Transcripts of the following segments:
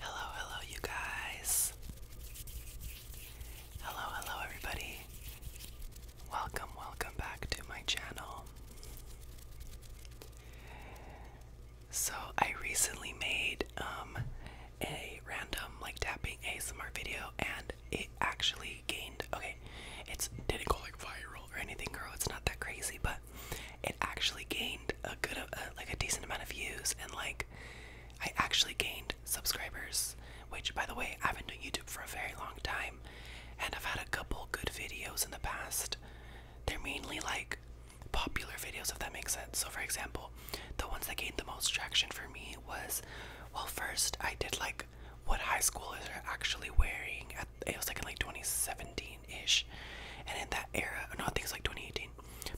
Hello, hello, you guys. Hello, hello, everybody. Welcome, welcome back to my channel. So, I recently made um, a random like tapping ASMR video and it actually gained okay, it's didn't go like viral or anything, girl. It's not that crazy, but it actually gained a good, uh, like a decent amount of views, and like I actually gained subscribers. Which, by the way, I've been doing YouTube for a very long time, and I've had a couple good videos in the past. They're mainly like popular videos, if that makes sense. So, for example, the ones that gained the most traction for me was, well, first I did like what high schoolers are actually wearing. At, it was like in like 2017 ish. And in that era, no, I think it's like 2018,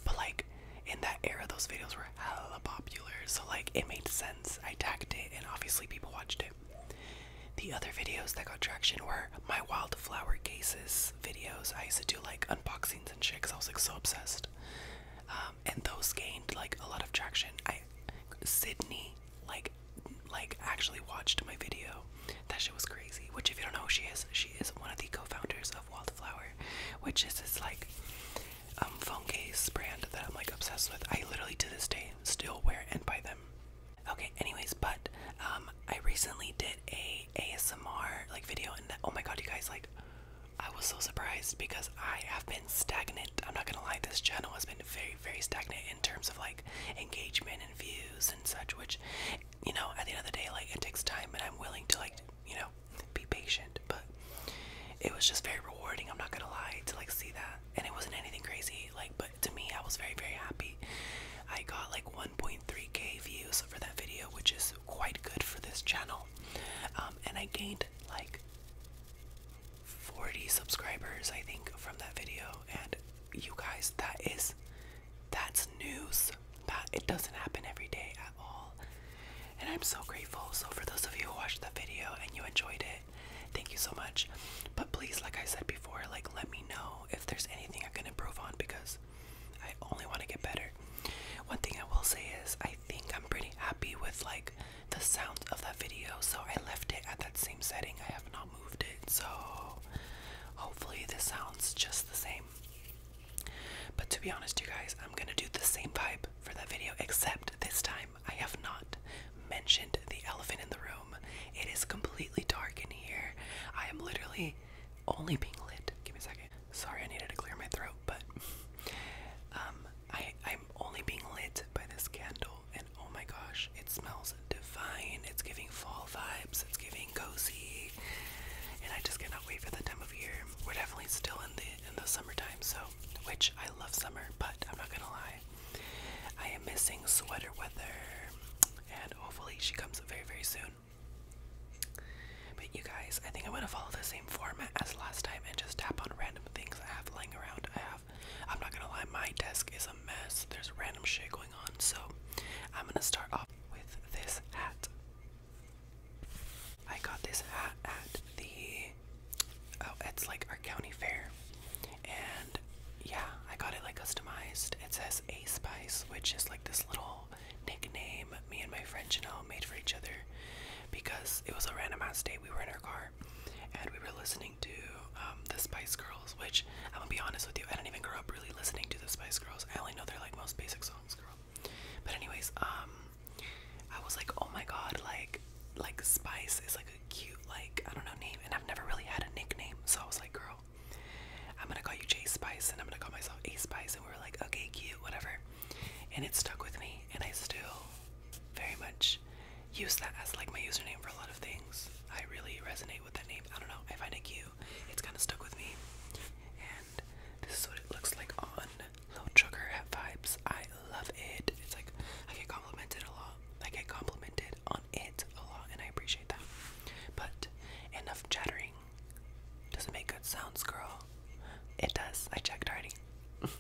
but like in that era, those videos were hella popular, so like it made sense. I tagged it, and obviously, people watched it. The other videos that got traction were my wildflower cases videos. I used to do like unboxings and shit because I was like so obsessed. Um, and those gained like a lot of traction. I Sydney like like actually watched my video that shit was crazy. Which, if you don't know who she is, she is one of the co-founders of Wildflower, which is this like um phone case brand that I'm like obsessed with. I literally to this day still wear and buy them. Okay, anyways, but um I recently did a ASMR like video and oh my god you guys like I was so surprised because I have been stagnant. I'm not gonna lie, this channel has been very, very stagnant in terms of like engagement and views and such, which you know, at the end of the day, like it takes time, and I'm willing to like, you know, be patient. But it was just very rewarding. I'm not gonna lie to like see that, and it wasn't anything crazy. Like, but to me, I was very, very happy. I got like 1.3k views for that video, which is quite good for this channel. Um, and I gained like 40 subscribers, I think, from that video. And you guys, that is that's news but it doesn't happen every day at all. And I'm so grateful. So for those of you who watched the video and you enjoyed it, thank you so much. But please, like I said before, like let me know if there's anything I can improve on because I only want to get better. One thing I will say is I think I'm pretty happy with like the sound of that video, so I left it at that same setting. I have not moved it, so hopefully this sounds just the same. But to be honest, you guys, I'm gonna do the same vibe for that video, except this time I have not mentioned the elephant in the room. It is completely dark in here. I am literally only being lit. Give me a second. Sorry, I needed to clear my throat, but um, I I'm only being lit by this candle, and oh my gosh, it smells divine. It's giving fall vibes. It's giving cozy. And I just cannot wait for the time of year. We're definitely still in the in the summertime, so which I love summer, but I'm not gonna lie. I am missing sweater weather. And hopefully she comes very, very soon. But you guys, I think I'm gonna follow the same format as last time and just tap on random things I have laying around. I have I'm not gonna lie, my desk is a mess. There's random shit going on, so I'm gonna start off with this hat. I got this hat at the oh, it's like our county fair, and yeah, I got it like customized. It says A Spice, which is like this little nickname me and my friend Janelle made for each other because it was a randomized day. We were in our car and we were listening to um, the Spice Girls, which I'm gonna be honest with you, I didn't even grow up really listening to the Spice Girls. I only know they're like most basic songs, girl. But anyways, um, I was like, oh my god, like, like Spice is like a cute, like I don't know name, and I've never really had a nickname, so I was like, girl, I'm gonna call you J Spice, and I'm gonna call myself A Spice, and we are like, okay, cute, whatever. And it stuck with me, and I still very much use that as like my username for a lot of things. I really resonate with that name. I don't know. I find it cute. It's kind of stuck with me. And this is what it looks like on Low Sugar Vibes. I love it. It's like I get complimented a lot. I get complimented on it a lot, and I appreciate that. But enough chattering. Does it make good sounds, girl? It does. I checked already.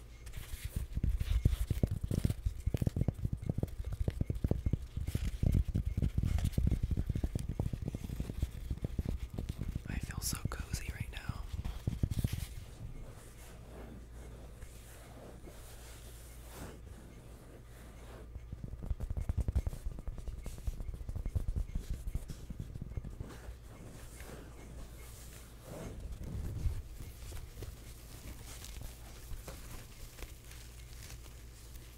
I feel so cozy right now.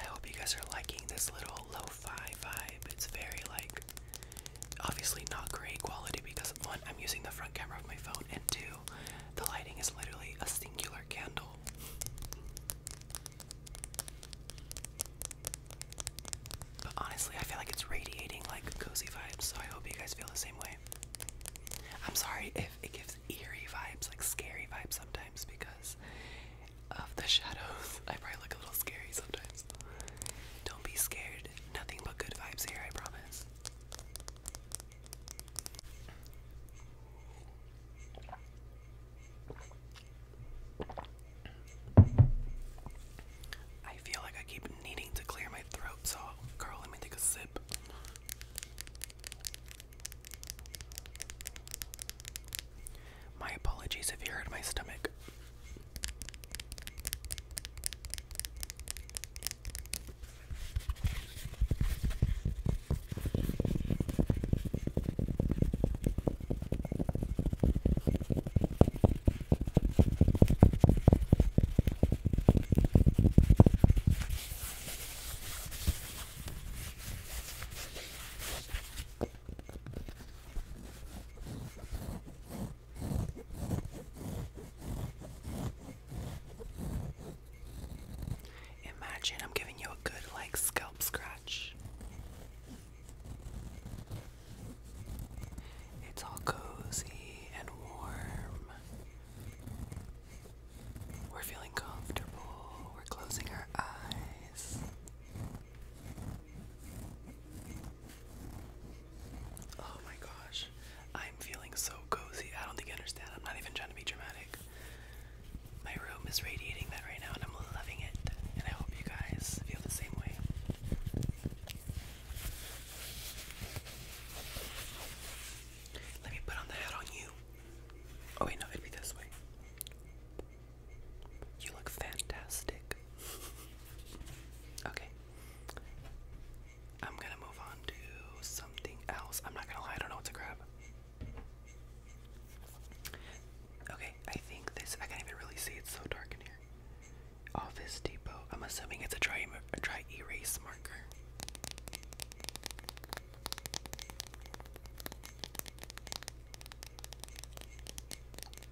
I hope you guys are liking this little lo-fi vibe. It's very like obviously not great quality because one, I'm using the front camera of my phone, and two, the lighting is literally a singular candle. But honestly, I feel like it's radiating like cozy vibes, so I hope you guys feel the same way. I'm sorry if it gives eerie vibes, like scary vibes sometimes, because of the shadows. I probably look a little scary sometimes. Don't be scared. Nothing but good vibes here, I promise. I feel like I keep needing to clear my throat, so girl, let me take a sip. My apologies if you hurt my stomach. Imagine I'm giving you a good, like, scalp scratch. It's all cozy and warm. We're feeling comfortable. We're closing our eyes. Oh my gosh. I'm feeling so cozy. I don't think you understand. I'm not even trying to be dramatic. My room is radiating that right now, and I'm loving it. And I hope you guys feel the same way. Let me put on the hat on you. Oh, wait, no, it'd be this way. You look fantastic. okay. I'm gonna move on to something else. I'm not gonna lie, I don't know what to grab. Okay, I think this, I can't even really see, it's so dark in here. Office Depot. I'm assuming it's a dry, a erase marker.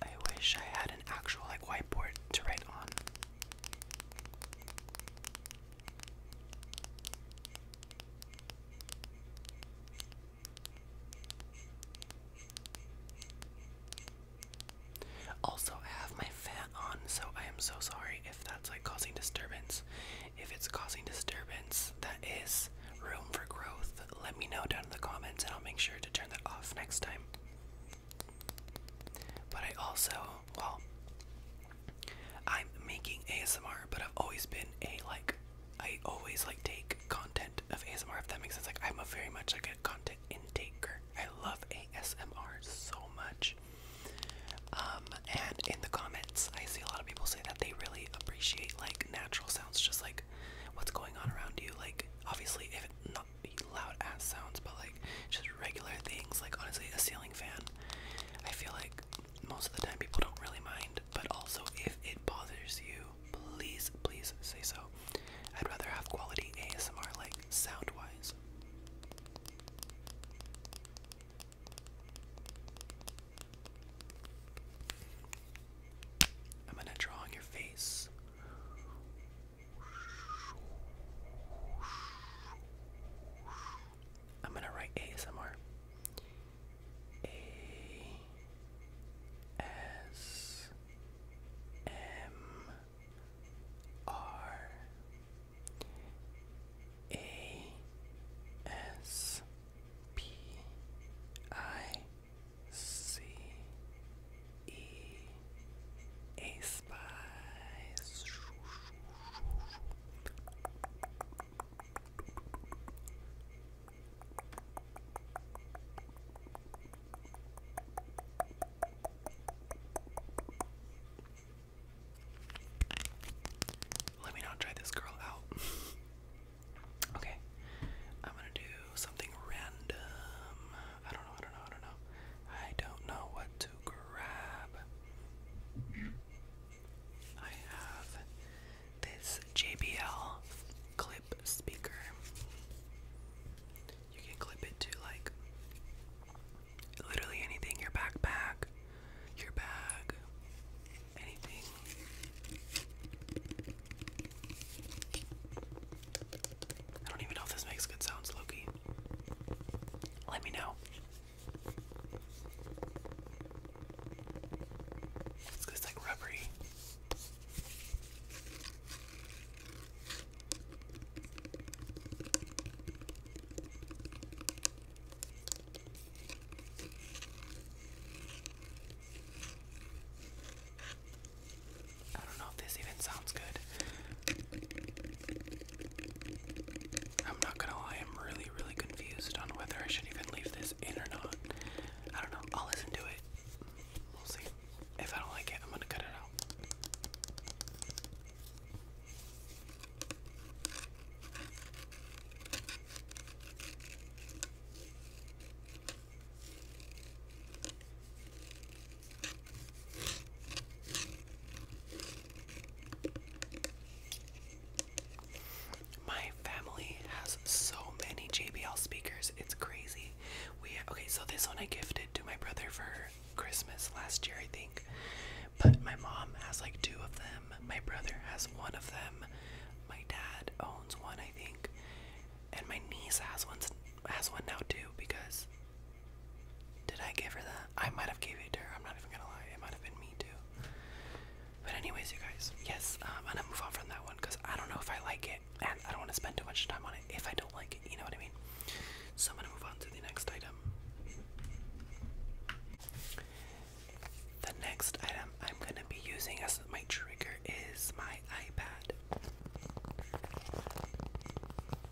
I wish I had an actual like whiteboard to write on. Also, I have my fan on, so I am so sorry if that's like causing disturbance. If it's causing disturbance, that is room for growth. Let me know down in the comments and I'll make sure to turn that off next time. But I also, well, I'm making ASMR, but I've always been a like, I always like take content of ASMR, if that makes sense. Like, I'm a very much like a content intaker. I love ASMR so much. Um, and in the comments, I see a lot of people say that they really appreciate like natural sounds, just like what's going on around you. Like, obviously, if loud ass sounds, but like just regular things. Like honestly, a ceiling fan. I feel like most of the time people don't really mind, but also if it bothers you, please, please say so. I'd rather have quality ASMR, like sound wise. I'm gonna draw on your face. I'm gonna write ASMR. A S M R A S P I C E a spice. Let me not try this girl out. okay, I'm gonna do something random. I don't know, I don't know, I don't know. I don't know what grab. I have this JBL clip speaker. You can clip it to like literally anything your backpack, your bag, anything. I don't even know if this makes good sounds, Loki. Let me know. It's like rubbery. I don't know if this even sounds good. I'm not gonna lie, I'm really, really confused on whether I should even leave this in or not. I don't know. I'll listen to it. We'll see. If I don't like it, I'm gonna cut it out. My family has so many JBL speakers, it's crazy. We okay, so this one I gifted to my brother for Christmas last year, I think. But my mom has like two of them. My brother has one of them. My dad owns one, I think. And my niece has one has one now too because did I give her that? I might have gave it to her. I'm not even gonna lie. It might have been me too. But anyways, you guys, yes, um, I'm gonna move on from that one because I don't know if I like it, and I don't want to spend too much time on it if I don't like it. You know what I mean? So I'm gonna move on to the next item. The next item I'm gonna be using as my trigger is my iPad.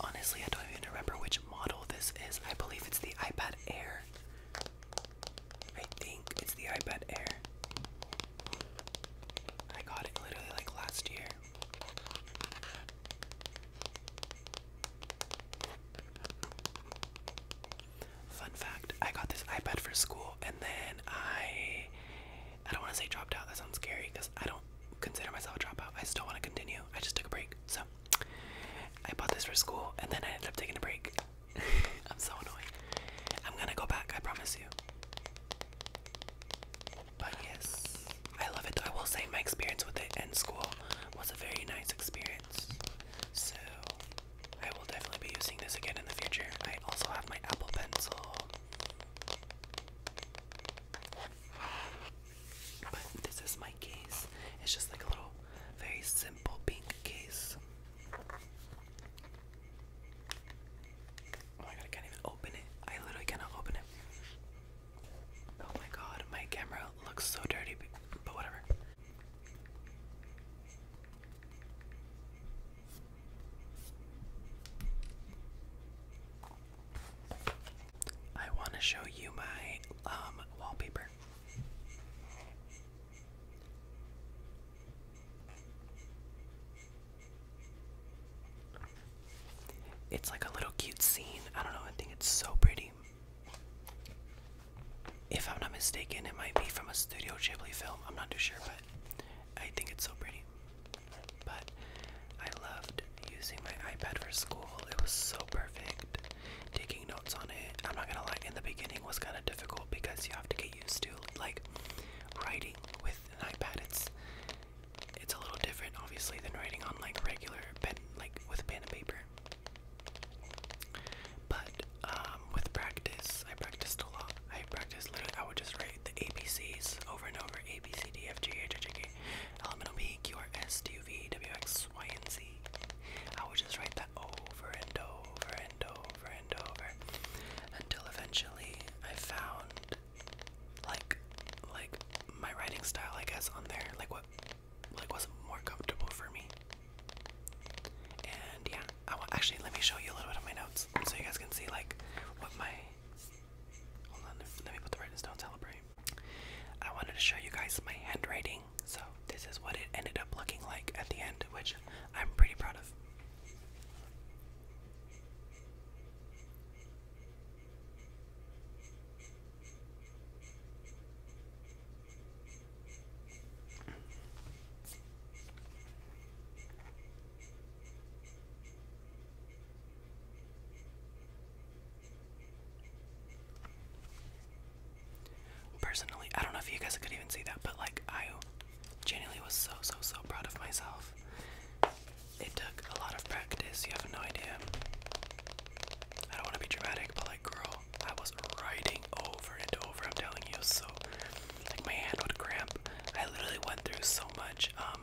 Honestly, I don't even remember which model this is. I believe it's the iPad Air. I think it's the iPad Air. I got it literally like last year. Fun fact, I got this iPad for school and then I I don't want to say dropped out. That sounds scary because I don't consider myself a dropout. I still want to continue. I just took a break. So I bought this for school and then I ended up taking a break. I'm so annoyed. I'm gonna go back, I promise you. But yes, I love it. I will say my experience with it in school was a very nice experience. So I will definitely be using this again in the future. I also have my Apple Pencil. But this is my case. It's just like a little, very simple pink case. Oh my god, I can't even open it. I literally cannot open it. Oh my god, my camera looks so dirty, but whatever. I want to show you my um, wallpaper. It's like a little cute scene. I don't know, I think it's so pretty. If I'm not mistaken, it might be from a Studio Ghibli film. I'm not too sure, but I think it's so pretty. But I loved using my iPad for school. It was so perfect. Taking notes on it. I'm not gonna lie, in the beginning was kind of difficult because you have to get used to like writing with an iPad. It's it's a little different obviously than writing on like regular pen like with a pen and paper. But um with practice, I practiced a lot. I practiced literally I would just write the ABCs over and over. A B C D F G H I J K L M N O P Q R S T U V W X Y and Z. I would just write that over and over and over and over until eventually I found like like my writing style I guess on there like what like was more comfortable for me. And yeah, I will actually let me show you a little bit of my notes so you guys can see like what my hold on let me put the writing down celebrate. I wanted to show you guys my handwriting, so this is what it ended up looking like at the end, which I'm pretty proud of. Personally, I don't know if you guys could even see that, but like I genuinely was so so so proud of myself. It took a lot of practice, you have no idea. I don't want to be dramatic, but like girl, I was writing over and over, I'm telling you, so like my hand would cramp. I literally went through so much, um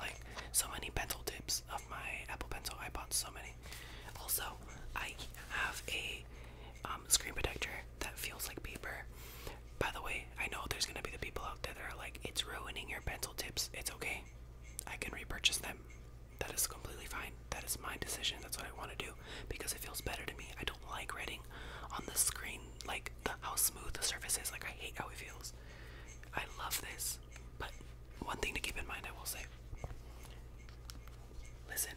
like so many pencil tips of my Apple Pencil. I bought so many also, I have a um, screen protector that feels like paper. By the way, I know there's gonna be the people out there that are like, it's ruining your pencil tips. It's okay. I can repurchase them. That is completely fine. That is my decision. That's what I want to do because it feels better to me. I don't like writing on the screen, like how smooth the surface is. Like I hate how it feels. I love this. But one thing to keep in mind, I will say listen.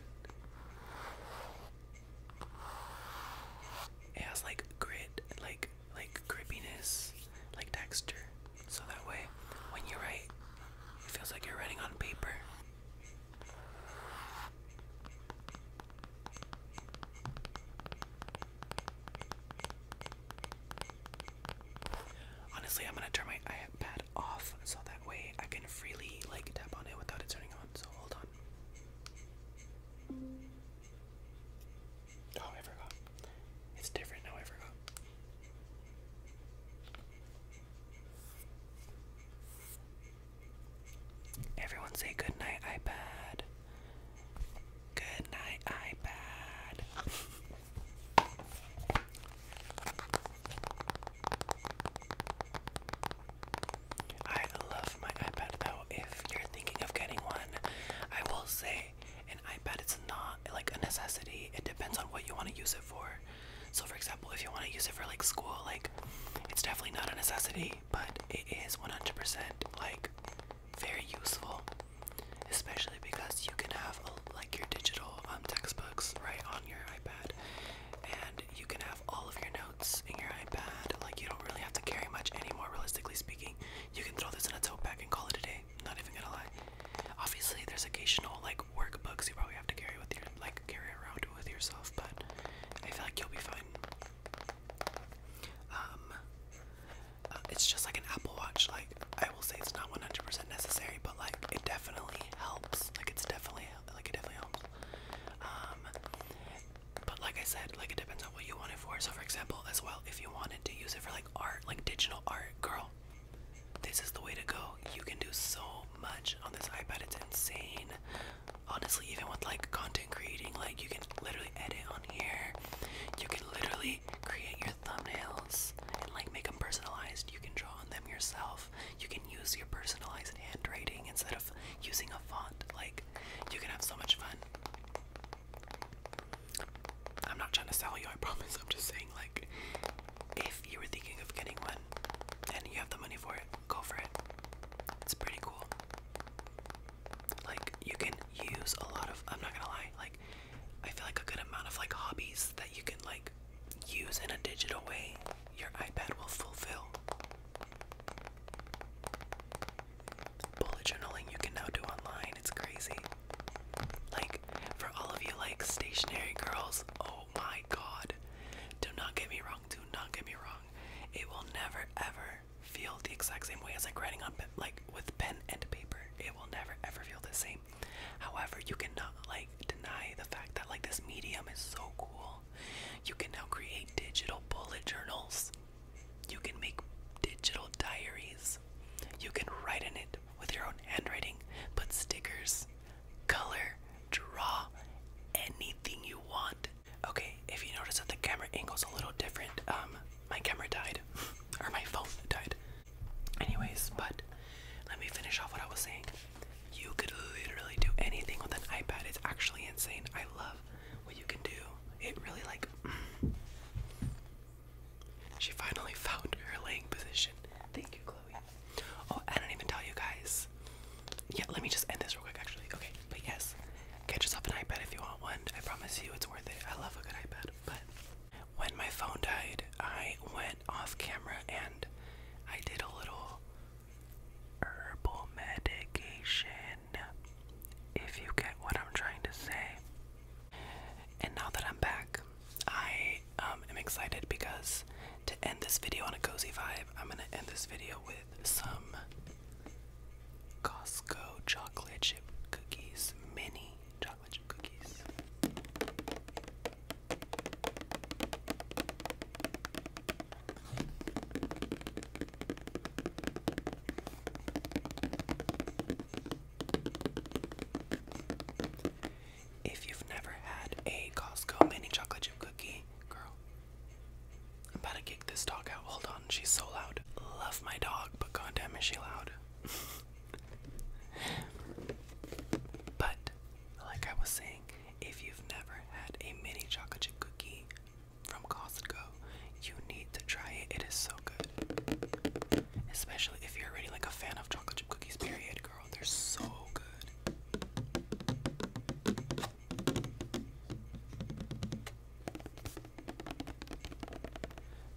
It has like grit, like like grippiness, like texture. So that way when you write, it feels like you're writing on paper. Honestly, I'm gonna turn my iPad off so that way I can freely like tap on it without it turning on. So hold on. Oh, I forgot. It's different now. I forgot. Everyone say good night, iPad. Good night, iPad. I love my iPad though. If you're thinking of getting one, I will say an iPad it's not like a necessity. It depends on what you want to use it for. So for example, if you want to use it for like school, like it's definitely not a necessity, but it is 100% like very useful, especially because you can have like your digital um, textbook right on your iPad, and you can have all of your notes in your iPad. Like you don't really have to carry much anymore, realistically speaking. You can throw this in a tote bag and call it a day. Not even gonna lie. Obviously, there's occasional like workbooks you probably have to carry with your like carry around with yourself, but I feel like you'll be fine. Um, uh, it's just like an Apple Watch. Like I will say it's not 100% necessary, but like it definitely helps. Like it's definitely like it definitely helps. Um, but like I said, like it depends on what you want it for. So for example, as well, if you wanted to use it for like art, like digital art, girl, this is the way to go. You can do so much on this iPad. It's insane. Honestly, even with like content creating, like you can literally edit on here. You can literally create your thumbnails and like make them personalized. You can draw on them yourself. You can use your personalized handwriting instead of using a font. Like you can have so much fun. I'm not trying to sell you, I promise. I'm just saying like if you were thinking of getting one and you have the money for it, go for it. It's pretty cool. Like you can use a lot of I'm not gonna lie, like I feel like a good amount of like hobbies that you can like use in a digital way, your iPad will fulfill. Bullet journaling you can now do online, it's crazy. Like, for all of you, like, stationary girls, oh my god. Do not get me wrong, do not get me wrong. It will never ever feel the exact same way as like writing on, like, with pen and paper. It will never ever feel the same. However, you cannot like deny the fact that like this medium is so cool. You can now create digital bullet journals. You can make digital diaries. You can write in it with your own handwriting, put stickers, color, draw anything you want. Okay, if you notice that the camera angle is a little different, um my camera died or my phone died. Anyways, but let me finish off what I was saying. You could literally do anything with an iPad. It's actually insane. I love what you can do. It really like She finally found her laying position. Thank you, Chloe. Oh, I didn't even tell you guys. Yeah, let me just end this real quick actually. Okay, but yes. Get yourself an iPad if you want one. I promise you it's worth it. I love a good iPad. But when my phone died, I went off camera and I did a little herbal medication, if you get what I'm trying to say. And now that I'm back, I um, am excited because to end this video on a cozy vibe, I'm gonna end this video with some Costco chocolate chip cookies, mini if you've never had a Costco mini chocolate chip cookie, girl, I'm about to kick this dog out. Hold on, she's so loud. Love my dog, but goddamn is she loud. but like I was saying, if you've never had a mini chocolate chip cookie from Costco, you need to try it. It is so good. Especially if you're already like a fan of chocolate chip cookies, period, girl. They're so good.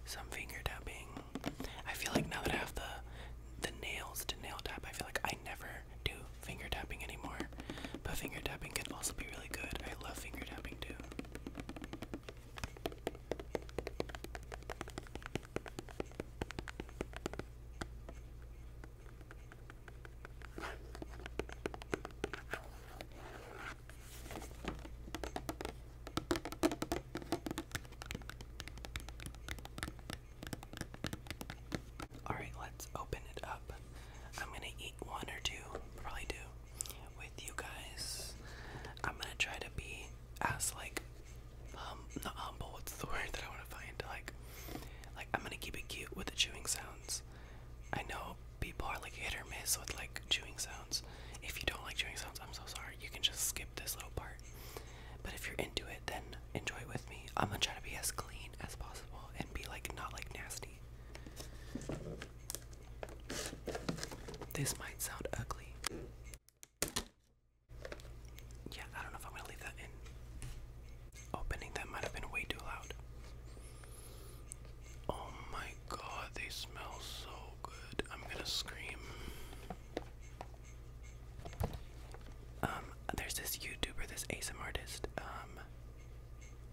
Some finger tapping. I feel like now that I have the the nails to nail tap, I feel like I never do finger tapping anymore. But finger tapping can also be really good. I love finger tapping too. Alright, let's open it up. I'm gonna eat one or two, probably two, with you guys. I'm gonna try to be as like um not humble, what's the word that I wanna find? Like like I'm gonna keep it cute with the chewing sounds. I know people are like hit or miss with like chewing sounds. If you don't like chewing sounds, I'm so sorry. You can just skip this little part. But if you're into it then enjoy it with me. I'm gonna try to be as clean as possible and be like not like nasty. This might sound ugly. Yeah, I don't know if I'm gonna leave that in. Opening that might have been way too loud. Oh my god, they smell so good. I'm gonna scream. Um, there's this YouTuber, this ASMR artist. Um,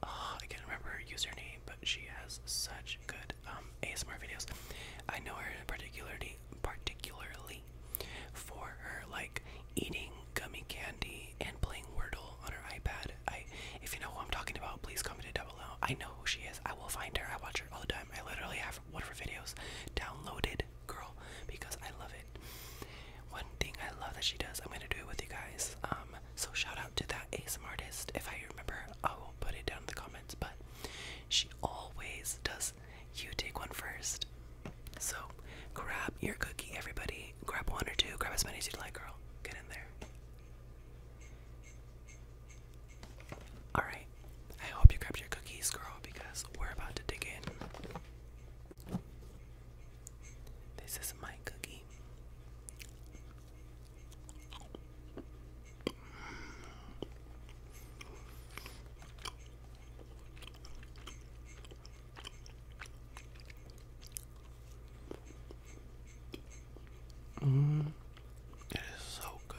oh, I can't remember her username, but she has such good um ASMR videos. I know her particularly, particularly for her like eating gummy candy and playing Wordle on her iPad. I, if you know who I'm talking about, please comment it down below. I know who she is. I will find her. I watch her all the time. I literally have of one her videos downloaded, girl, because I love it. One thing I love that she does, I'm gonna do it with you guys. Um, so shout out to that ASMR artist. If I remember, I won't put it down in the comments, but she always does. You take one first. So grab your cookie, everybody. Grab one or two. Grab as many as you would like, girl. Get in there. All right. I hope you grabbed your cookies, girl, because we're about to dig in. This is my cookie. Mm, it is so good.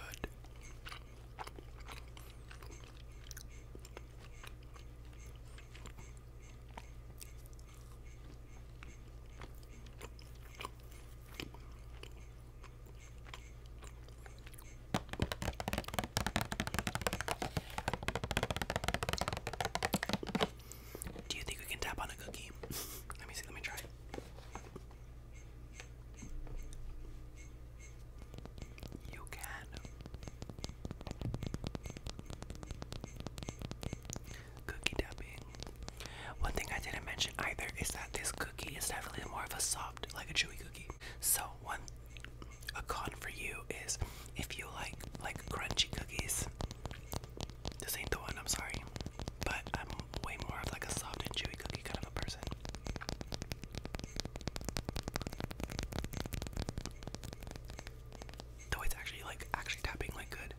Do you think we can tap on a cookie? let me see, let me try you can. Cookie dubbing. One thing I didn't mention either is that this cookie is definitely more of a soft, like a chewy cookie. So one a con for you is if you like like crunchy cookies. This ain't the one, I'm sorry. But I'm way more of like a soft and chewy cookie kind of a person. No, it's actually like actually tapping like good.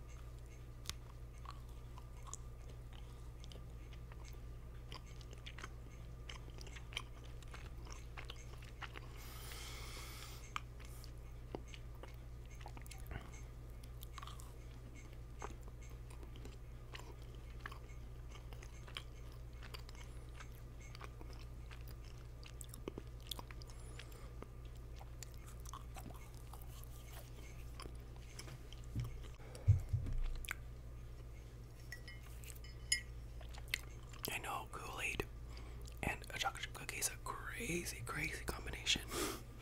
I know Kool-Aid and a chocolate chip cookie is a crazy, crazy combination.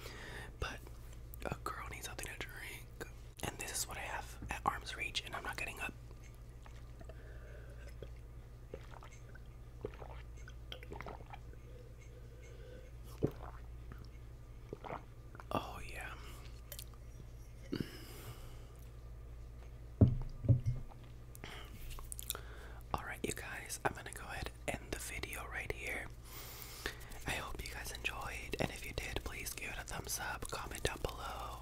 but a girl needs something to drink. And this is what I have at arm's reach, and I'm not getting up. Oh, yeah. Alright, you guys, I'm gonna go ahead and end the video right here. I hope you guys enjoyed, and if you did, please give it a thumbs up, comment down below.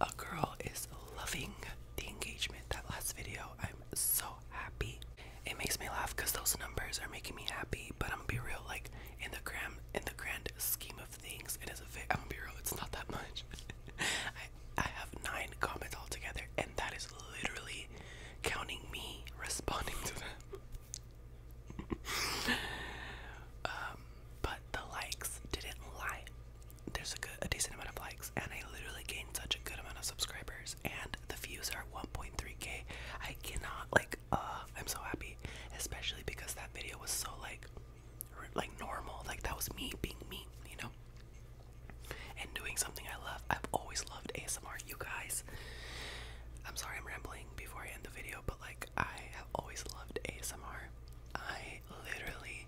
A girl is loving the engagement that last video. I'm so happy. It makes me laugh because those numbers are making me happy. But I'm gonna be real, like in the gram, in the grand scheme of things, it is a fit. I'm gonna be real, it's not that much. I I have nine comments altogether, and that is literally counting me responding to them. Um, but the likes didn't lie there's a good, a decent amount of likes, and I literally gained such a good amount of subscribers, and the views are 1.3k. I cannot like, uh, I'm so happy, especially because that video was so like, like normal, like that was me being me, you know, and doing something I love. I've always loved ASMR, you guys. I'm sorry I'm rambling before I end the video, but like I have always loved ASMR. I literally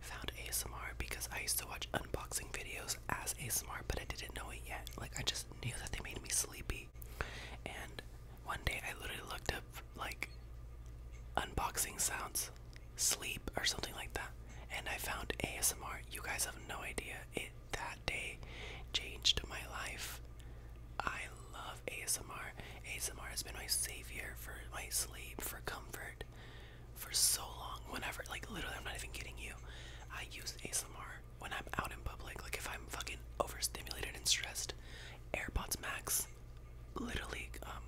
found ASMR because I used to watch unboxing videos as ASMR, but I didn't know it yet. Like, I just knew that they made me sleepy. And one day I literally looked up, like, unboxing sounds, sleep, or something like that. And I found ASMR. You guys have no idea. It that day changed my life. I love ASMR. ASMR has been my savior for my sleep, comfort for so long. Whenever, like, literally, I'm not even kidding you. I use ASMR when I'm out in public. Like, if I'm fucking overstimulated and stressed, AirPods Max, literally, um,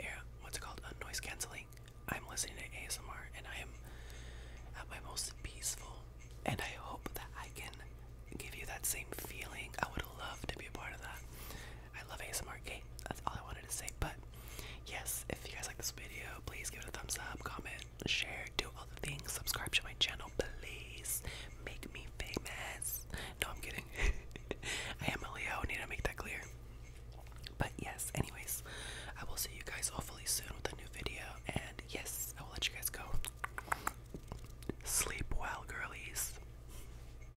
air, what's it called? Uh, noise canceling. I'm listening to ASMR and I am at my most peaceful. And I hope that I can give you that same feeling. I would love to be a part of that. I love ASMR game. That's all I wanted to say. But yes, if you guys like this video, please give it a thumbs up, comment, share, do all the things, subscribe to my channel, please. Make me famous. No, I'm kidding. I am a Leo, need to make that clear. But yes, anyways, I will see you guys hopefully soon with a new video. And yes, I will let you guys go. Sleep well, girlies.